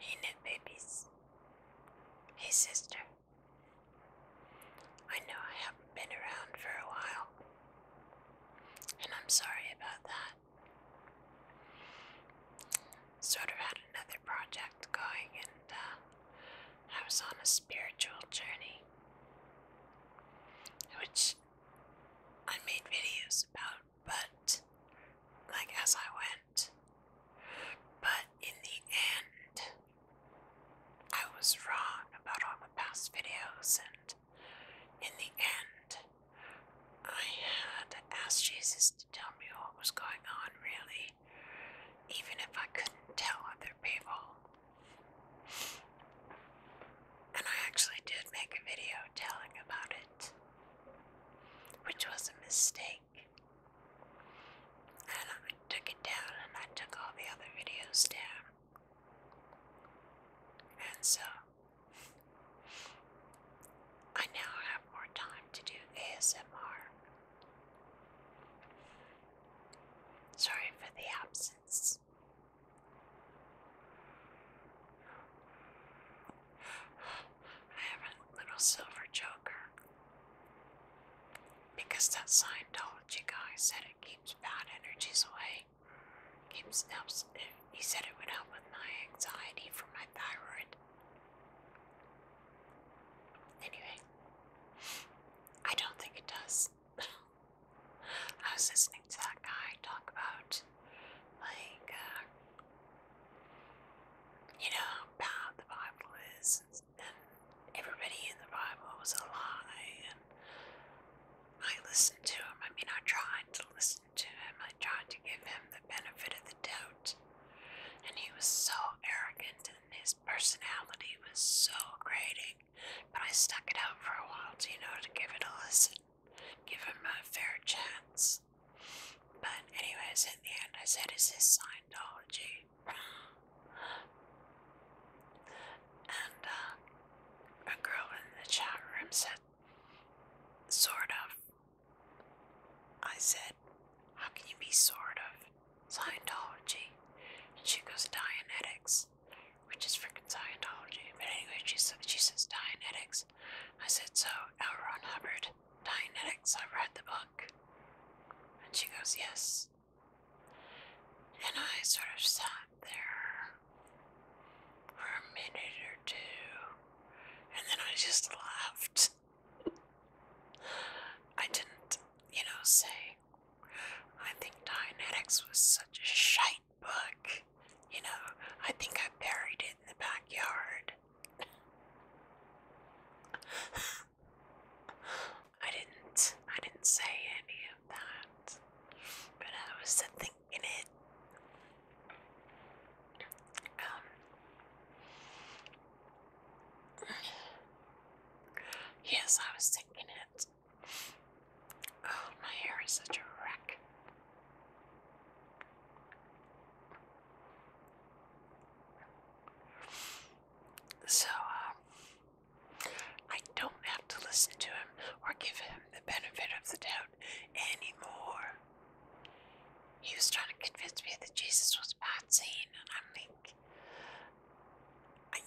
He knew babies. His sister. I know I haven't been around for a while, and I'm sorry about that. Sort of had enough project going, and uh, I was on a spiritual journey, which I made videos about, but like as I went. But in the end, I was wrong about all the past videos, and in the end, I had asked Jesus to tell me what was going on, really even if I couldn't tell other people. And I actually did make a video telling about it, which was a mistake. And I took it down, and I took all the other videos down. And so, I now have more time to do ASMR. Sorry for the absence. I have a little silver joker because that Scientology guy said it keeps bad energies away. Keeps helps. He said it would help with my anxiety for my thyroid. Anyway, I don't think it does. I was listening to that guy talk about, like, uh, you know, how bad the Bible is, and everybody in the Bible was a lie, and I listened to him. I mean, I tried to listen to him, I tried to give him the benefit of the doubt. And he was so arrogant and his personality was so grating. But I stuck it out for a while, you know, to give it a listen, give him a fair chance. But, anyways, in the end, I said, Is this Scientology? and uh, a girl in the chat room said, Sort of. I said, How can you be sort of Scientology? And she goes, Dianetics, which is fricking Scientology. But anyway, she, she says Dianetics. I said, So, L. Ron Hubbard, Dianetics, I read the book. And she goes, Yes. And I sort of sat there for a minute or two, and then I just laughed. I didn't, you know, say, I think Dianetics was such a shite book. You know, I think I buried it in the backyard. I didn't, I didn't say any of that, but I was thinking it. Um, yes, I was thinking it. Oh, my hair is such a wreck. So, uh, I don't have to listen to him or give him the benefit of the doubt anymore. He was trying to convince me that Jesus was a bad scene, and I'm like,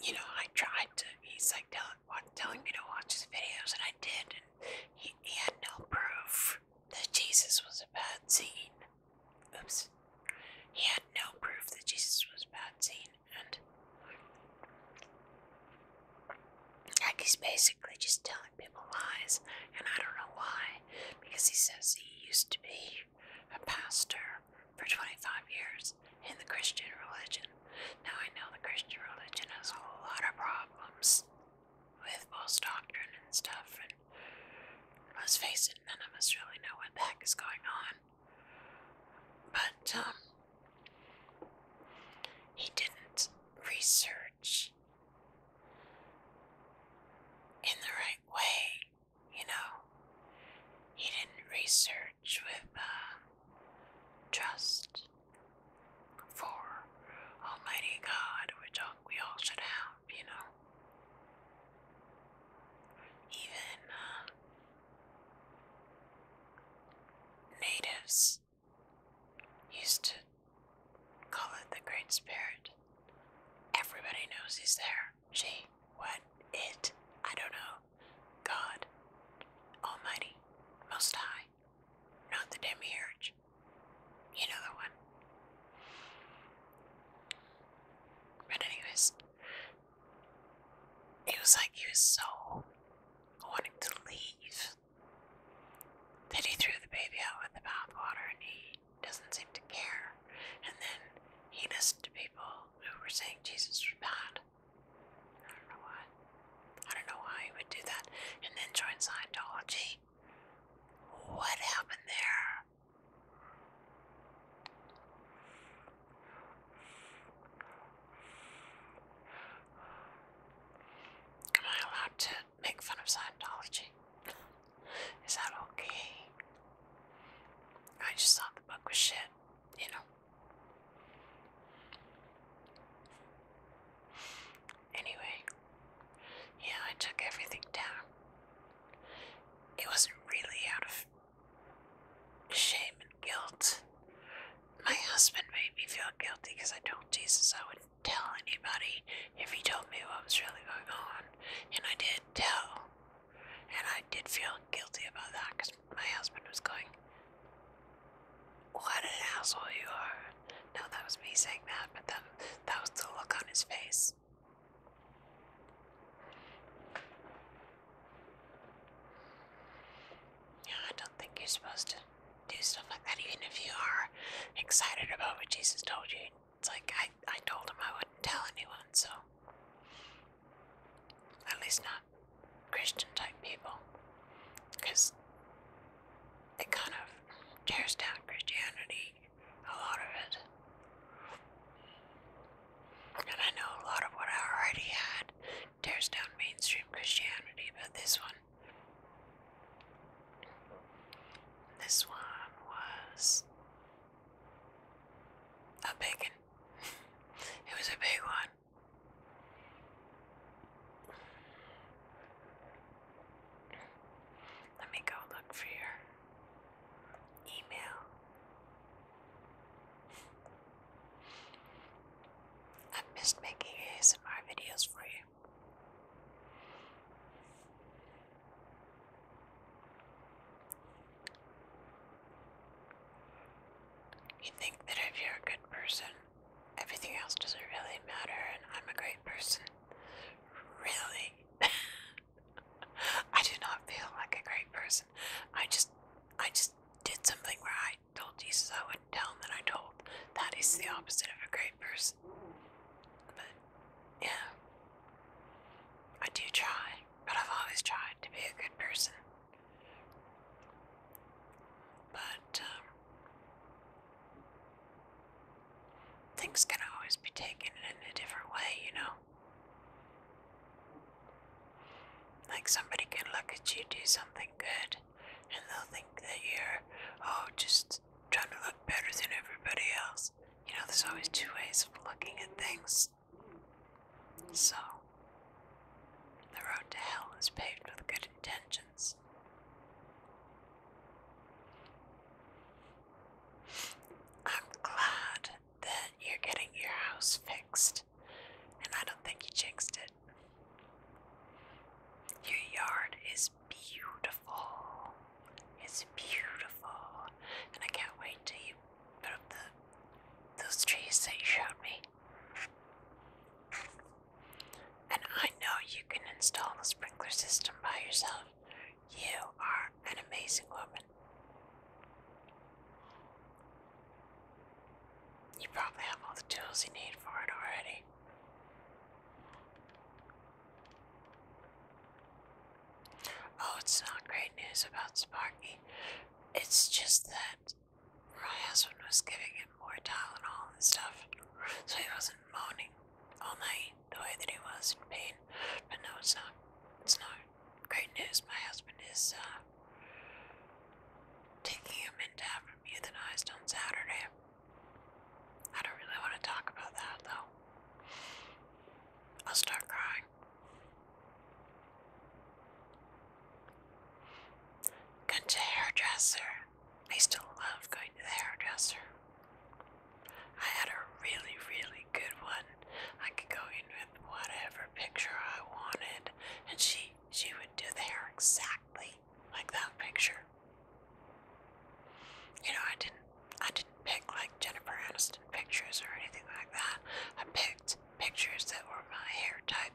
you know, I tried to. He's like telling, what, me to watch his videos, and I did. And he, he had no proof that Jesus was a bad scene. Oops. He had no proof that Jesus was a bad scene, and like he's basically just telling telling people lies, and I don't know why, because he says he used to be a pastor for 25 years in the Christian religion. Now, I know the Christian religion has a whole lot of problems with false doctrine and stuff, and let's face it, none of us really know what the heck is going on. But, um, he didn't research in the right way, you know. He didn't research with uh, for Almighty God, which we all should have, you know. Even uh, natives used to Call it the Great Spirit. Everybody knows he's there. She, what, it, I don't know. God, Almighty, Most High, not the Demiurge. You know the one. But, anyways, it was like he was so wanting to leave then he threw the baby out with the bathwater and he doesn't seem to care. And then he listened to people who were saying Jesus was bad. I don't know why. I don't know why he would do that. And then joined Scientology. What happened there? Am I allowed to make fun of Scientology? Is that okay? I just thought the book was shit, you know. Anyway, yeah, I took everything down. It wasn't really out of shame and guilt. My husband made me feel guilty because I told Jesus I would tell anybody if he told me what was really going on. And I did tell. And I did feel guilty about that because my husband was going, What an asshole you are. No, that was me saying that, but that, that was the look on his face. Yeah, I don't think you're supposed to do stuff like that, even if you are excited about what Jesus told you. It's like I, I told him I wouldn't tell anyone, so at least not Christian type people, because it kind of tears down Christianity, a lot of it. And I know a lot of what I already had tears down mainstream Christianity, but this one this one was a big one. it was a big one. Let me go look for your email. i missed making ASMR videos for you. You think that if you're a good person, everything else doesn't really matter, and I'm a great person. Really? I do not feel like a great person. I just, I just did something where I told Jesus I would one town that I told. That is the opposite of a great person. But, yeah. I do try, but I've always tried to be a good person. But, um, things can always be taken in a different way, you know? Like somebody can look at you do something good and they'll think that you're, oh, just trying to look better than everybody else. You know, there's always two ways of looking at things. So, the road to hell is paved with good intentions. I'm glad that you're getting your house fixed, and I don't think you jinxed it. Your yard is beautiful. It's beautiful. And I can't wait to you put the those trees that you showed me. And I know you can install the sprinkler system by yourself. You are an amazing woman. You probably have all the tools you need for it already. Oh, it's not great news about Sparky. It's just that my husband was giving him more Tylenol and stuff, so he wasn't moaning all night the way that he was in pain. But no, it's not. It's not great news. My husband is uh, taking him in to have him euthanized on Saturday. I don't really want to talk about that though. I'll start crying. Going to hairdresser. I still love going to the hairdresser. I had a really, really good one. I could go in with whatever picture I wanted, and she she would do the hair exactly like that picture. You know, I didn't I didn't pick like Jennifer Aniston pictures or anything like that. I picked pictures that were my hair type.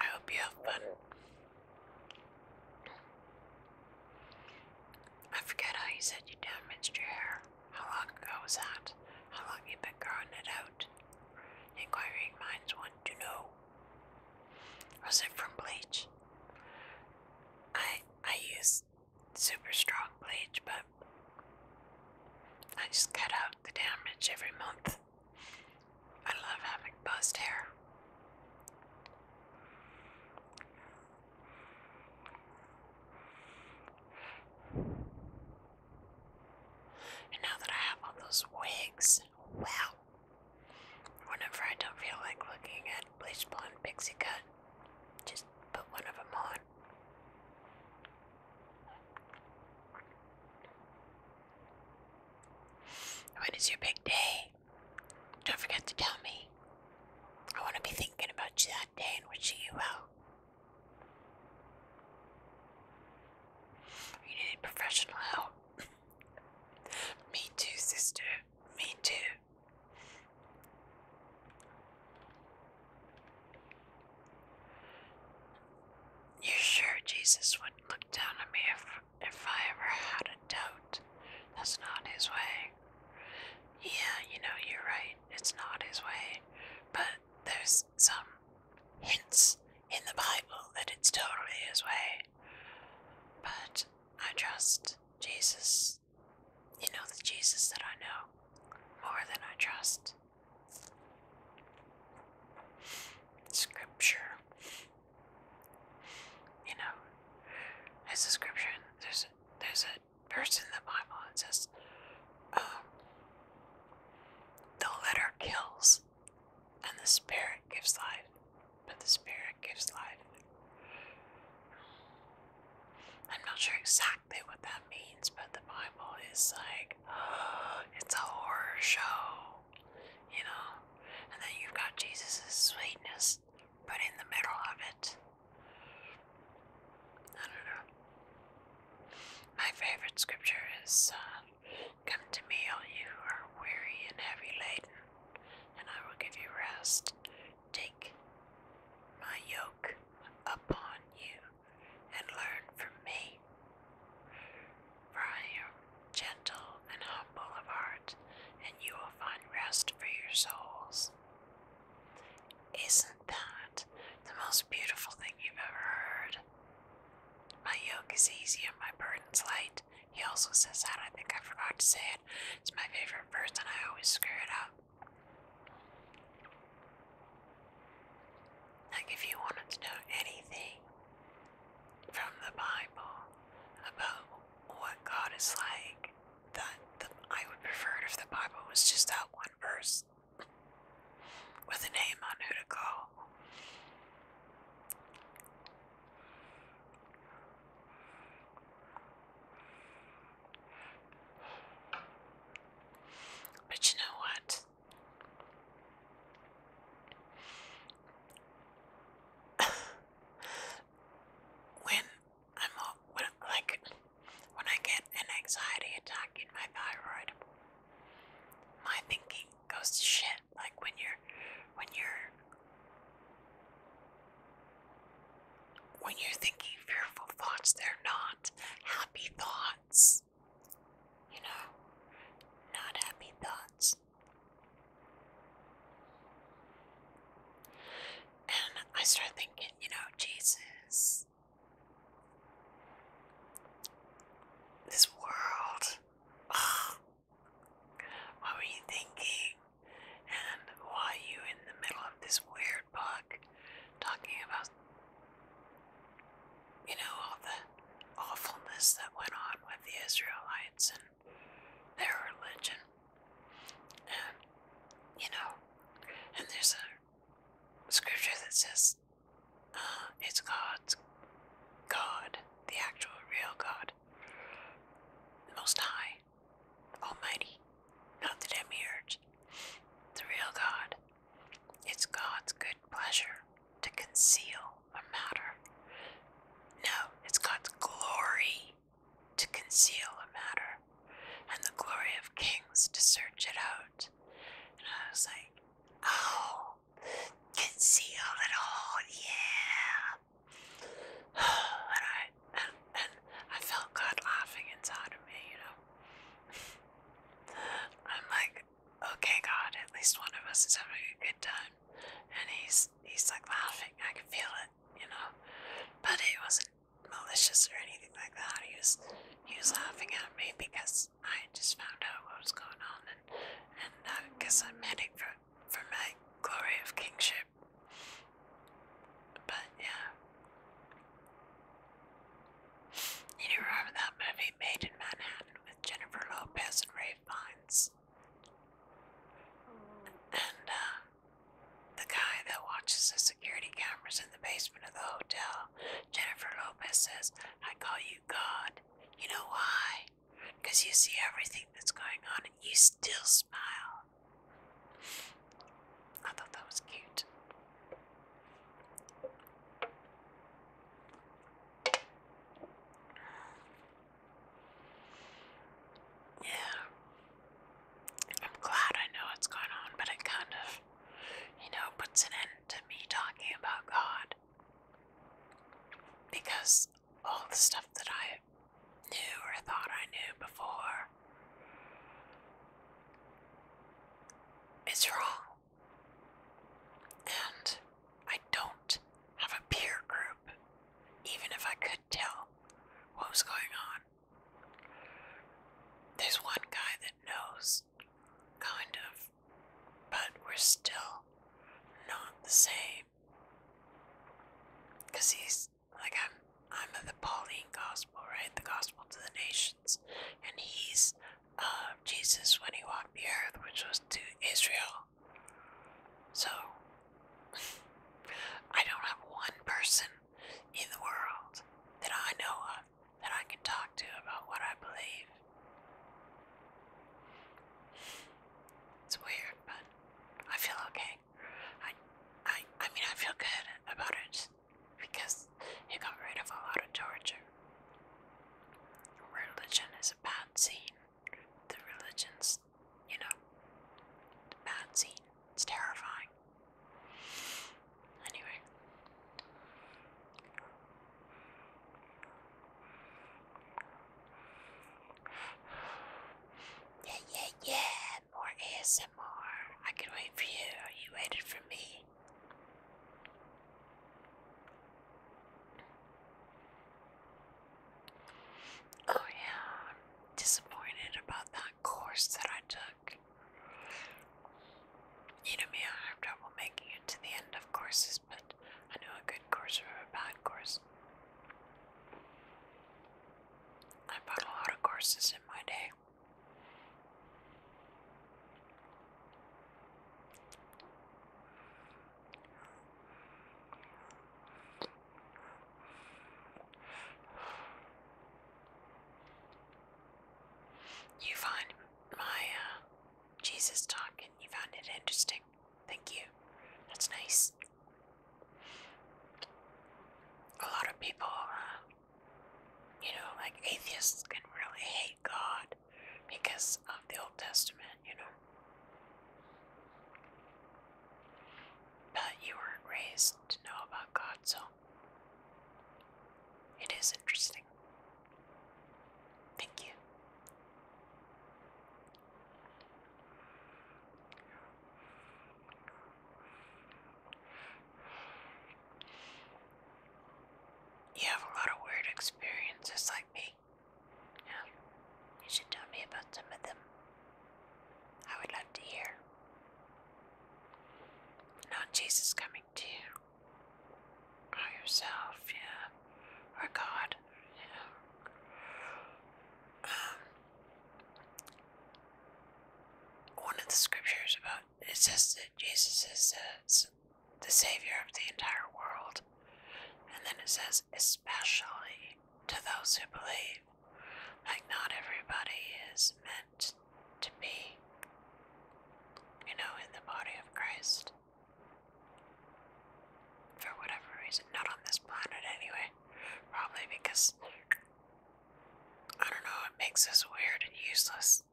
I hope you have fun. I forget how you said you damaged your hair. How long ago was that? How long you been growing it out? Inquiring minds want to know. Was it from bleach? I I use super strong bleach, but I just cut out the damage every month. I love having buzzed hair now that I have all those wigs, wow. Whenever I don't feel like looking at bleach blonde pixie cut, just put one of them on. When is your big day? Don't forget to tell me. I want to be thinking about you that day and wishing you well. You need professional help. me too, sister. Me too. you sure Jesus wouldn't look down on me if, if I ever had a doubt? That's not his way. Yeah, you know, you're right. It's not his way. But there's some hints in the Bible that it's totally his way. But I trust Jesus, you know, the Jesus that I know, more than I trust Scripture. You know, it's a scripture, there's there's a verse in the Bible that says, um, the letter kills, and the spirit gives life, but the spirit gives life. I'm not sure exactly what that means, but the Bible is like, oh, it's a horror show, you know? And then you've got Jesus' sweetness but in the middle of it. I don't know. My favorite scripture is uh, Come to me, all you who are weary and heavy laden, and I will give you rest. Take my yoke upon you and learn from me, for I am gentle and humble. Boulevard, and you will find rest for your souls. Isn't that the most beautiful thing you've ever heard? My yoke is easy and my burden's light. He also says that. I think I forgot to say it. It's my favorite verse, and I always screw it up. Like, if you wanted to know anything from the Bible about what God is like, that I would prefer if the Bible was just that one verse with a name on who to call. But you know what? when I'm like when I get an anxiety attack in my thyroid, my thinking goes to shit. Like when you're when you're when you're thinking fearful thoughts, they're not happy thoughts. You know, not happy thoughts. And I started thinking, you know, Jesus, this world, what were you thinking? And why are you in the middle of this weird book talking about, you know, all the awfulness that went on with the Israelites and their religion. And, you know, and there's a scripture that says uh, it's God's God, the actual real God, the Most High, Almighty, not the demiurge, the real God. It's God's good pleasure to conceal a matter. No, it's God's glory to conceal a matter, and the glory of kings to search it out. And I was like, oh, conceal it all, yeah. and I and, and I felt God laughing inside of me, you know. I'm like, okay, God, at least one of us is having a good time, and he's he's like laughing. I can feel it you know, but it wasn't malicious or anything like that. He was he was laughing at me because I just found out what was going on, and and because uh, I'm heading for for my glory of kingship. But yeah, you remember that movie Made in Manhattan with Jennifer Lopez and Ray Fiennes? And uh, the guy that watches the security cameras in the basement of the hotel, Jennifer Lopez, says, I call you God. You know why? Because you see everything that's going on and you still smile. I thought that was cute. Yeah. I'm glad I know what's going on, but it kind of, you know, puts an end to me talking about God. Because all the stuff that I knew or thought I knew before is wrong. And I don't did have a peer group, even if I could tell what was going on. There's one guy that knows, kind of, but we're still not the same. Because he's like, I'm, I'm the Pauline gospel, right? The gospel to the nations. And he's uh, Jesus when he walked the earth, which was to Israel. So, I don't have one person in the world that I know of that I can talk to about what I believe. It's weird, but I feel okay. I, I, I mean, I feel good about it because it got rid of a lot of torture. Religion is a bad scene. The religions it's, you know, a bad scene. It's terrifying. Anyway. Yeah, yeah, yeah, more ASMR. I can wait for you. You waited for me. Oh, yeah, I'm disappointed about that course that I took. You know me, I have trouble making it to the end of courses, but I know a good course or a bad course. I bought a lot of courses in my day. You find my uh, Jesus talk and you found it interesting. Thank you. That's nice. A lot of people, uh, you know, like atheists can really hate God because uh, the Old Testament, you know. But you weren't raised to know about God, so it is interesting. Thank you. You have a lot of weird experiences like me. Yeah, you should tell me about some of them. I would love to hear. No, Jesus coming to you. Or yourself, yeah. Or God, yeah. Um, one of the scriptures about it says that Jesus is uh, the Savior of the entire world. And then it says, especially to those who believe. Like, not everybody is meant to be, you know, in the body of Christ. For whatever reason. Not on this planet, anyway. Probably because, I don't know, it makes us weird and useless.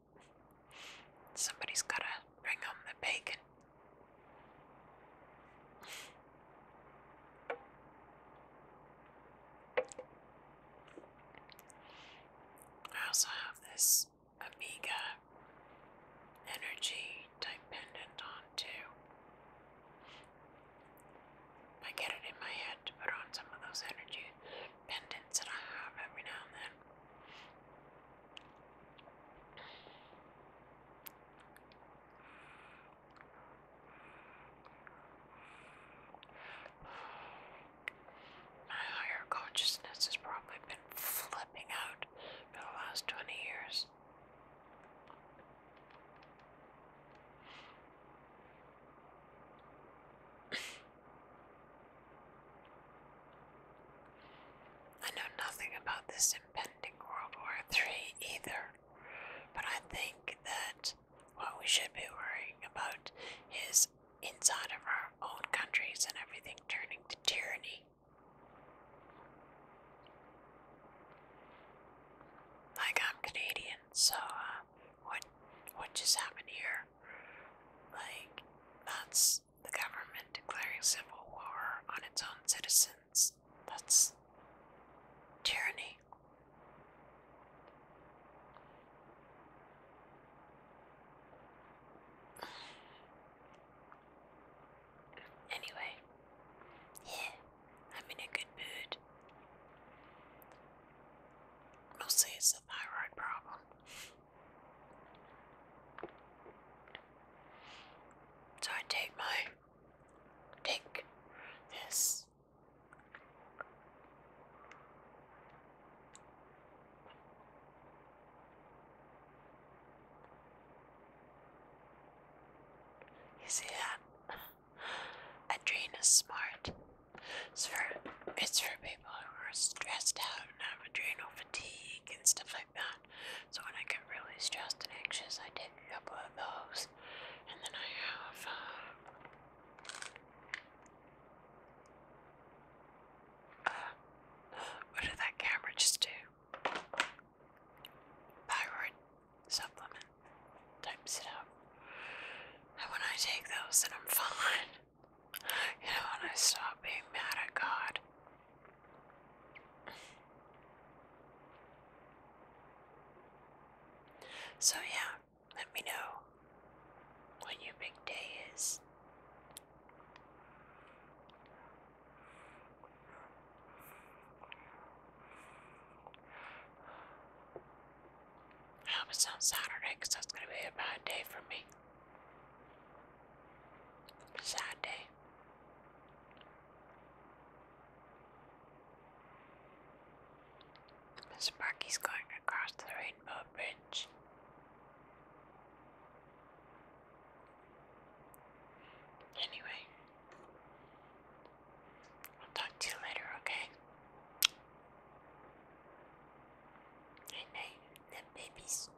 Somebody's gotta bring home the bacon. I also have this Amiga energy type pendant on too. I get it in my head to put on some of those energy pendants that I have every now and then. My higher consciousness has probably been flipping out for the last 20 years. I know nothing about this pending World War Three either. But I think that what we should be worrying about is inside of our own countries and everything turning to tyranny. Like I'm Canadian, so uh, what what just happened here? Like that's the government declaring civil war on its own citizens. That's tyranny. Anyway, yeah, I'm in a good mood. Mostly it's a thyroid problem. So I take my take this you see that? Adrenaline It's for it's for people who are stressed out and have adrenal fatigue and stuff so when I get really stressed and anxious, I take a couple of those. And then I have. Uh, what did that camera just do? Thyroid supplement types it out. And when I take those, then I'm fine. You know, when I stop being mad at God so, yeah, let me know when your big day is. I hope it's on Saturday that's going to be a bad day for me. Sad day. Sparky's going across the Rainbow Bridge. Anyway, I'll talk to you later, okay? Night night, the babies.